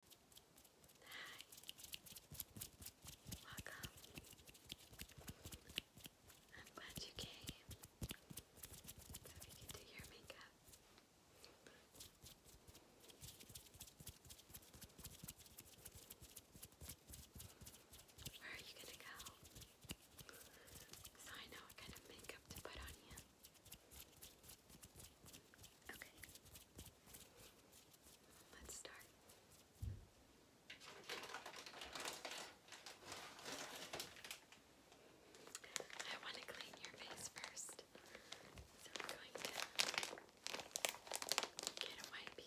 Hi. Welcome. I'm glad you came so we can do your makeup. Where are you gonna go? So I know what kind of makeup to put on you. Okay. Let's start. I want to clean your face first. So we're going to get a wipey.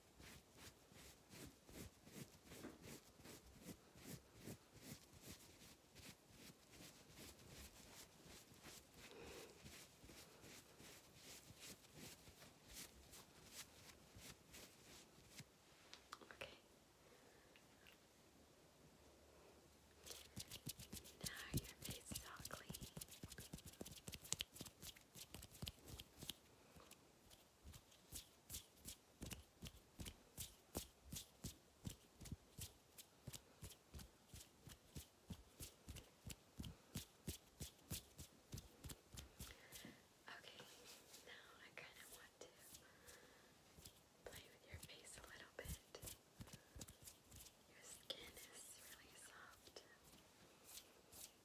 Okay. Now your face is all clean. Okay, now I kind of want to play with your face a little bit. Your skin is really soft. I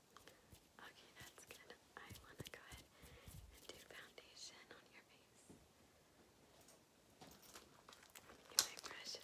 Okay, that's good. I want to go ahead and do foundation on your face. you my precious.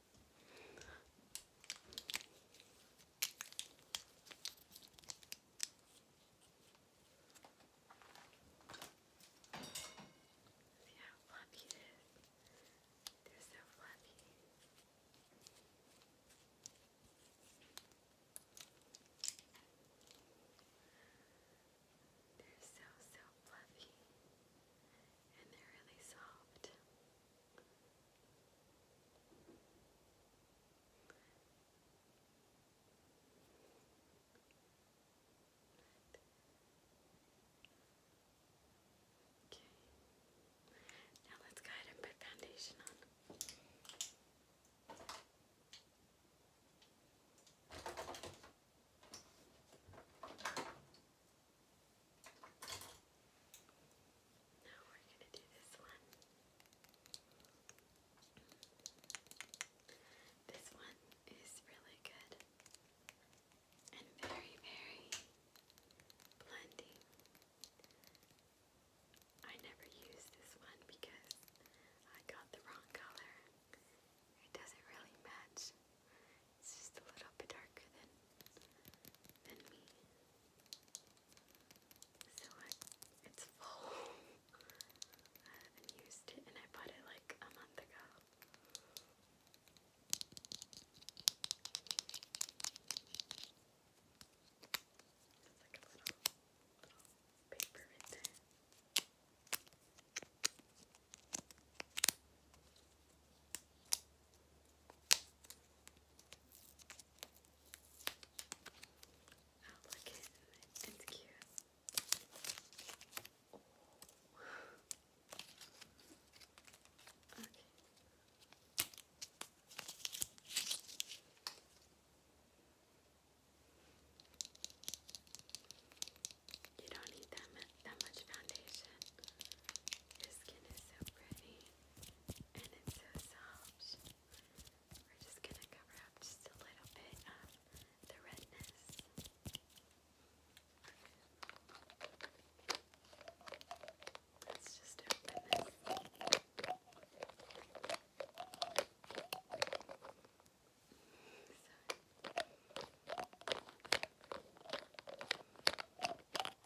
See how fluffy is? They're so fluffy. They're so, so fluffy. And they're really soft. Okay. Now let's go ahead and put foundation on. Okay. Now we're going to do this one. This one is really good and very, very blending. I never use this one because I got the wrong color. It doesn't really match it's just a little bit darker than than me. So it's full. I haven't used it, and I bought it like a month ago. It's like a little, little paper right there. Oh, look it. It's cute. Okay. You don't need that many that much foundation. Your skin is so pretty and it's so soft. We're just going to cover up just a little bit of the redness. Let's just open this.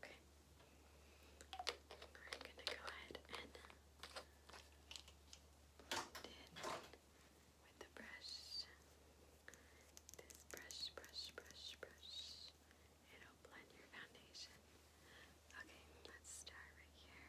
Okay. We're gonna go ahead and with the brush. This brush, brush, brush, brush. It'll blend your foundation. Okay, let's start right here.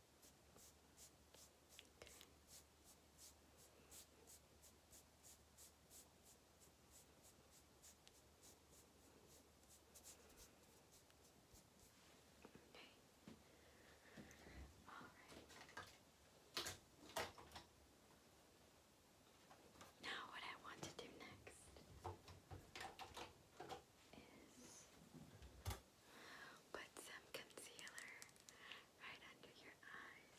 Alright. Now, what I want to do next put some concealer right under your eyes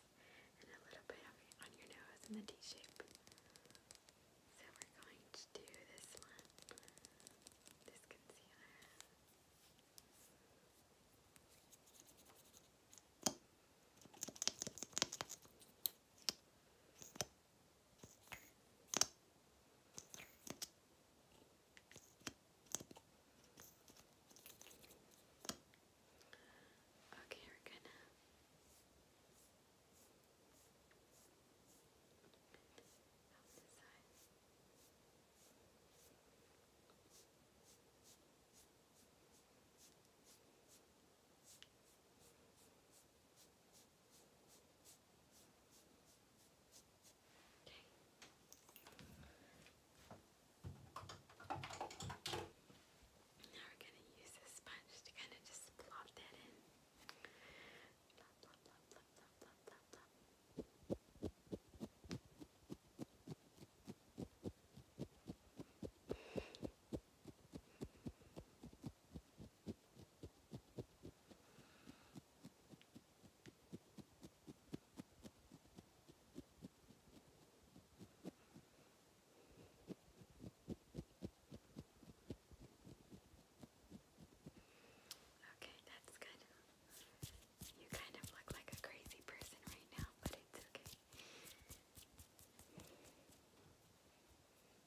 and a little bit on your nose in the D-shape. So we're going to do this concealer. Okay, we're gonna help this side. Okay. Okay. Now we're going to use this sponge to kind of just plop that in. Plop, plop, plop, plop, plop, plop, plop, plop. Okay. Okay, that's good. You kind of look like a crazy person right now, but it's okay.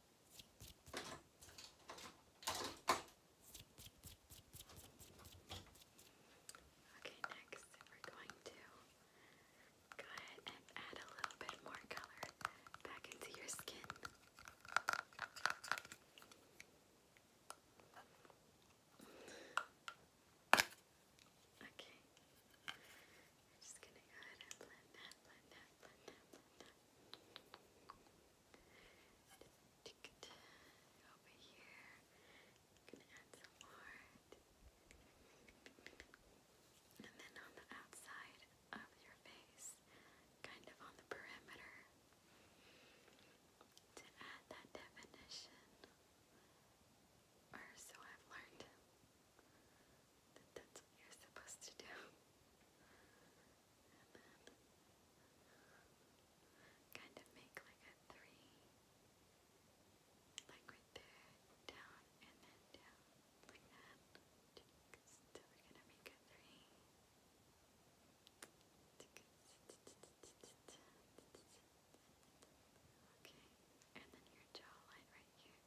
Okay, next we're going to go ahead and add a little bit more color back into your skin. Okay. just go ahead and blend that, blend that, blend that, blend that over here. gonna add some more. And then on the outside of your face, kind of on the perimeter, to add that definition. Or so I've learned that that's what you're supposed to do kind of make like a three, like right there, down and then down, like that. So we're gonna make a three. Okay, and then your jawline right here.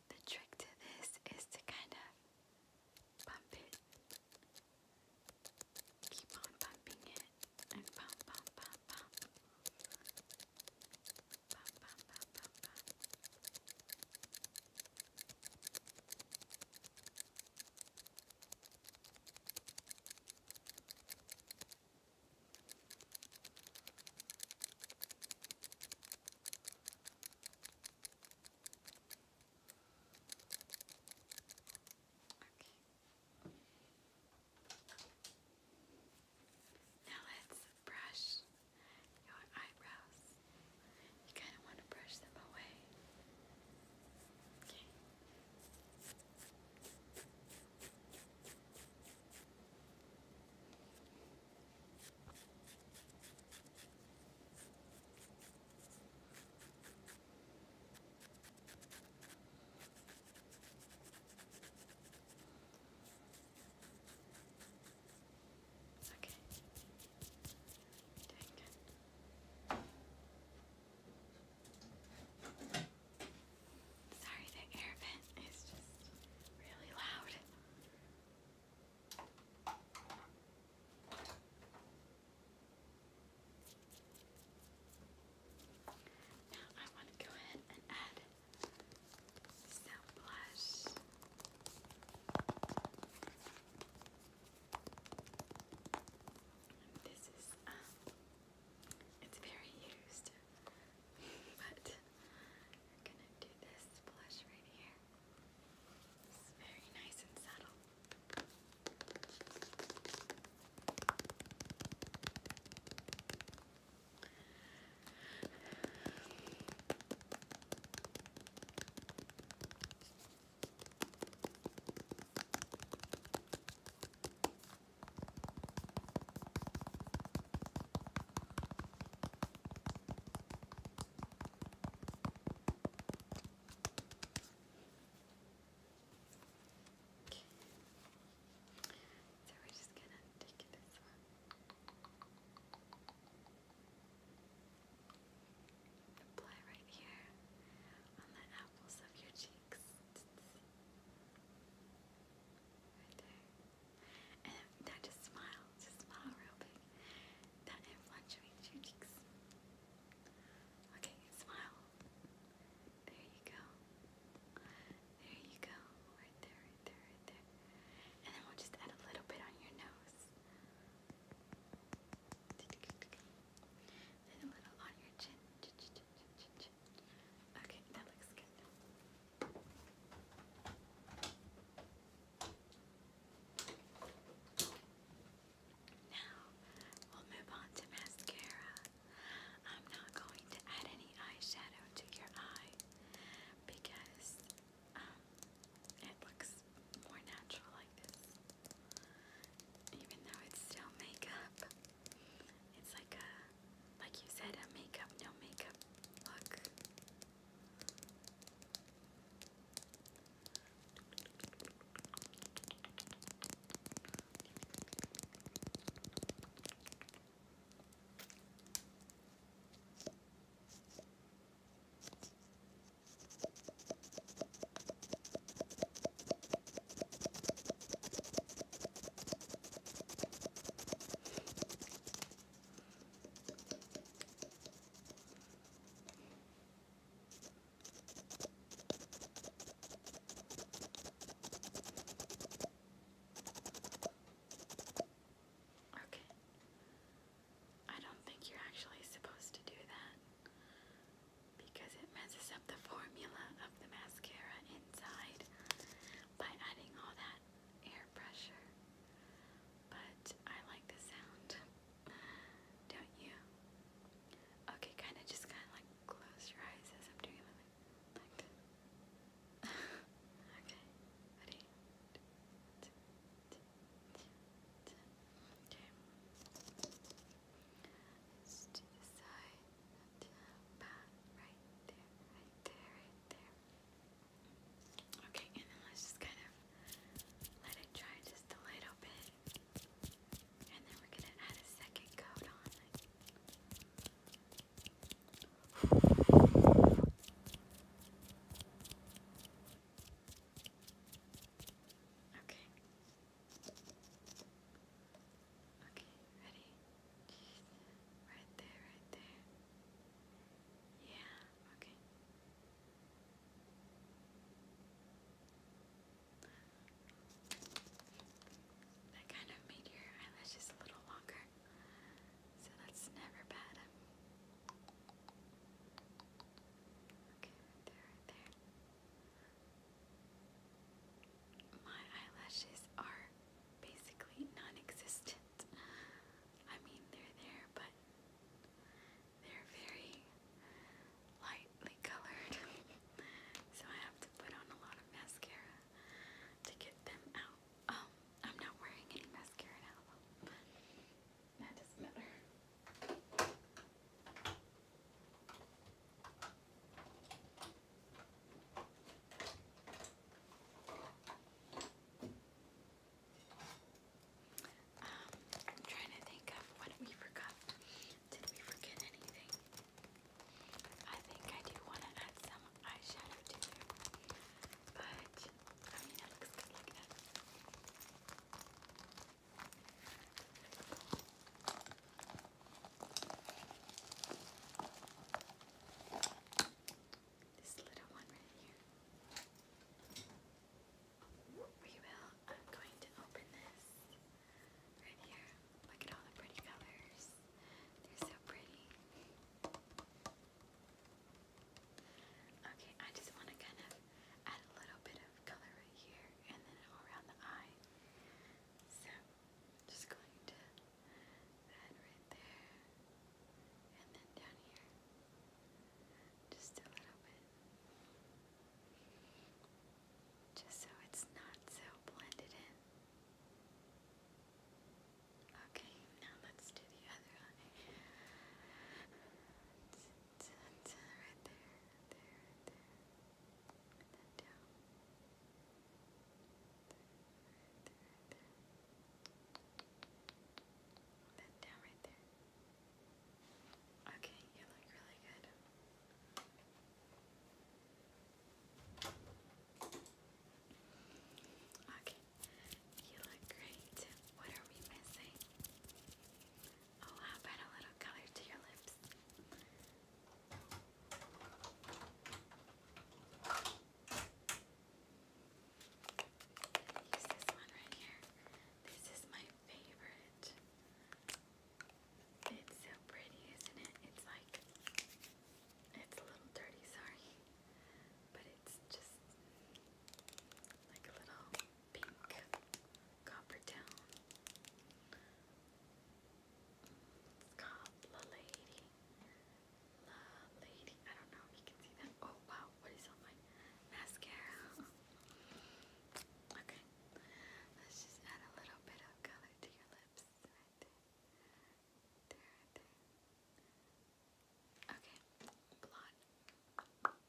The trick to this is to kind of bump it. Keep on bumping it and bump, bump, bump, bump. Bump, bump, bump, bump, now let's brush your eyebrows. You kind of want to brush them away. Okay. Okay. Doing Sorry, the air vent is just really loud. Now I want to go ahead and add some blush. this is um, it's very used, but I'm gonna do this blush right here. It's very nice and subtle. Okay. So we're just gonna take this one. Apply right here on the apples of your cheeks. Right there. And now just smile, just smile real big. That influences your cheeks. Okay, smile. There you go. There you go. Right there, right there, right there. And then we'll just add a little bit on your nose. And a little on your chin. Okay, that looks good. Now, we'll move on to mascara. I'm not going to add any eyeshadow to your eye because um, it looks more natural like this. Even though it's still makeup, it's like a like you said, a makeup, no makeup look. Okay. I don't think you're actually supposed to do that because it messes up the formula of the mascara inside by adding all that air pressure, but I like the sound. Don't you? Okay, kind of just kind of like close your eyes as I'm doing it like okay, ready? Okay. Let's do the side. right there, right there, right Okay, and then let's just kind of let it dry just a little bit. And then we're gonna add a second coat on Okay. Okay, ready? Right there, right there. Yeah, okay. That kind of made your eyelashes a little longer, so that's never bad. Okay, right there, right there my eyelashes are basically non-existent. I mean, they're there, but they're very lightly colored. so I have to put on a lot of mascara to get them out. Um, I'm not wearing any mascara now, though. That doesn't matter. Um, I'm trying to think of what we forgot. Did we forget anything? I think I do want to add some eyeshadow to it, but I mean it looks good like that. This little one right here. We will, I'm going to open this right here. Look at all the pretty colors. They're so pretty. Okay, I just want to kind of add a little bit of color right here and then all around the eye. So, just going to that right there. And then down here. Just a little bit. Just so it's not so blended in. Okay, now let's do the other eye. right there, there, there. then down. That down right there. Okay, you look really good. Okay, you look great. What are we missing? Oh, how about a little color to your lips? Use this one right here. This is my favorite. It's so pretty, isn't it? It's like, it's a little dirty, sorry. But it's just like a little pink copper tone. It's La Lady. La Lady. I don't know if you can see that. Oh wow, what is on my mascara? Okay. Let's just add a little bit of color to your lips. Right there. There, right there. Okay, blonde. Okay,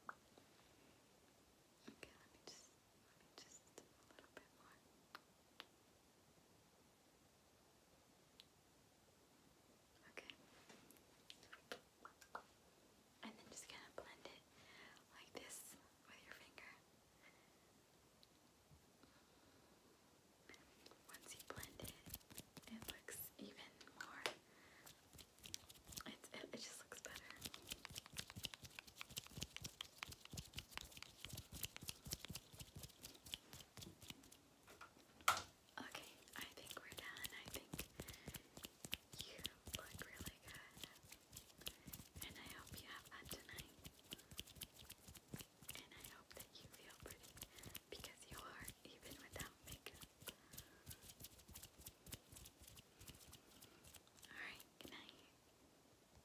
let me just, let me just a little bit more. Okay. And then just kind of blend it like this with your finger. Once you blend it, it looks even more. It, just looks better. Okay, I think we're done. I think you look really good. And I hope you have fun tonight. And I hope that you feel pretty because you are, even without makeup. Alright, good night.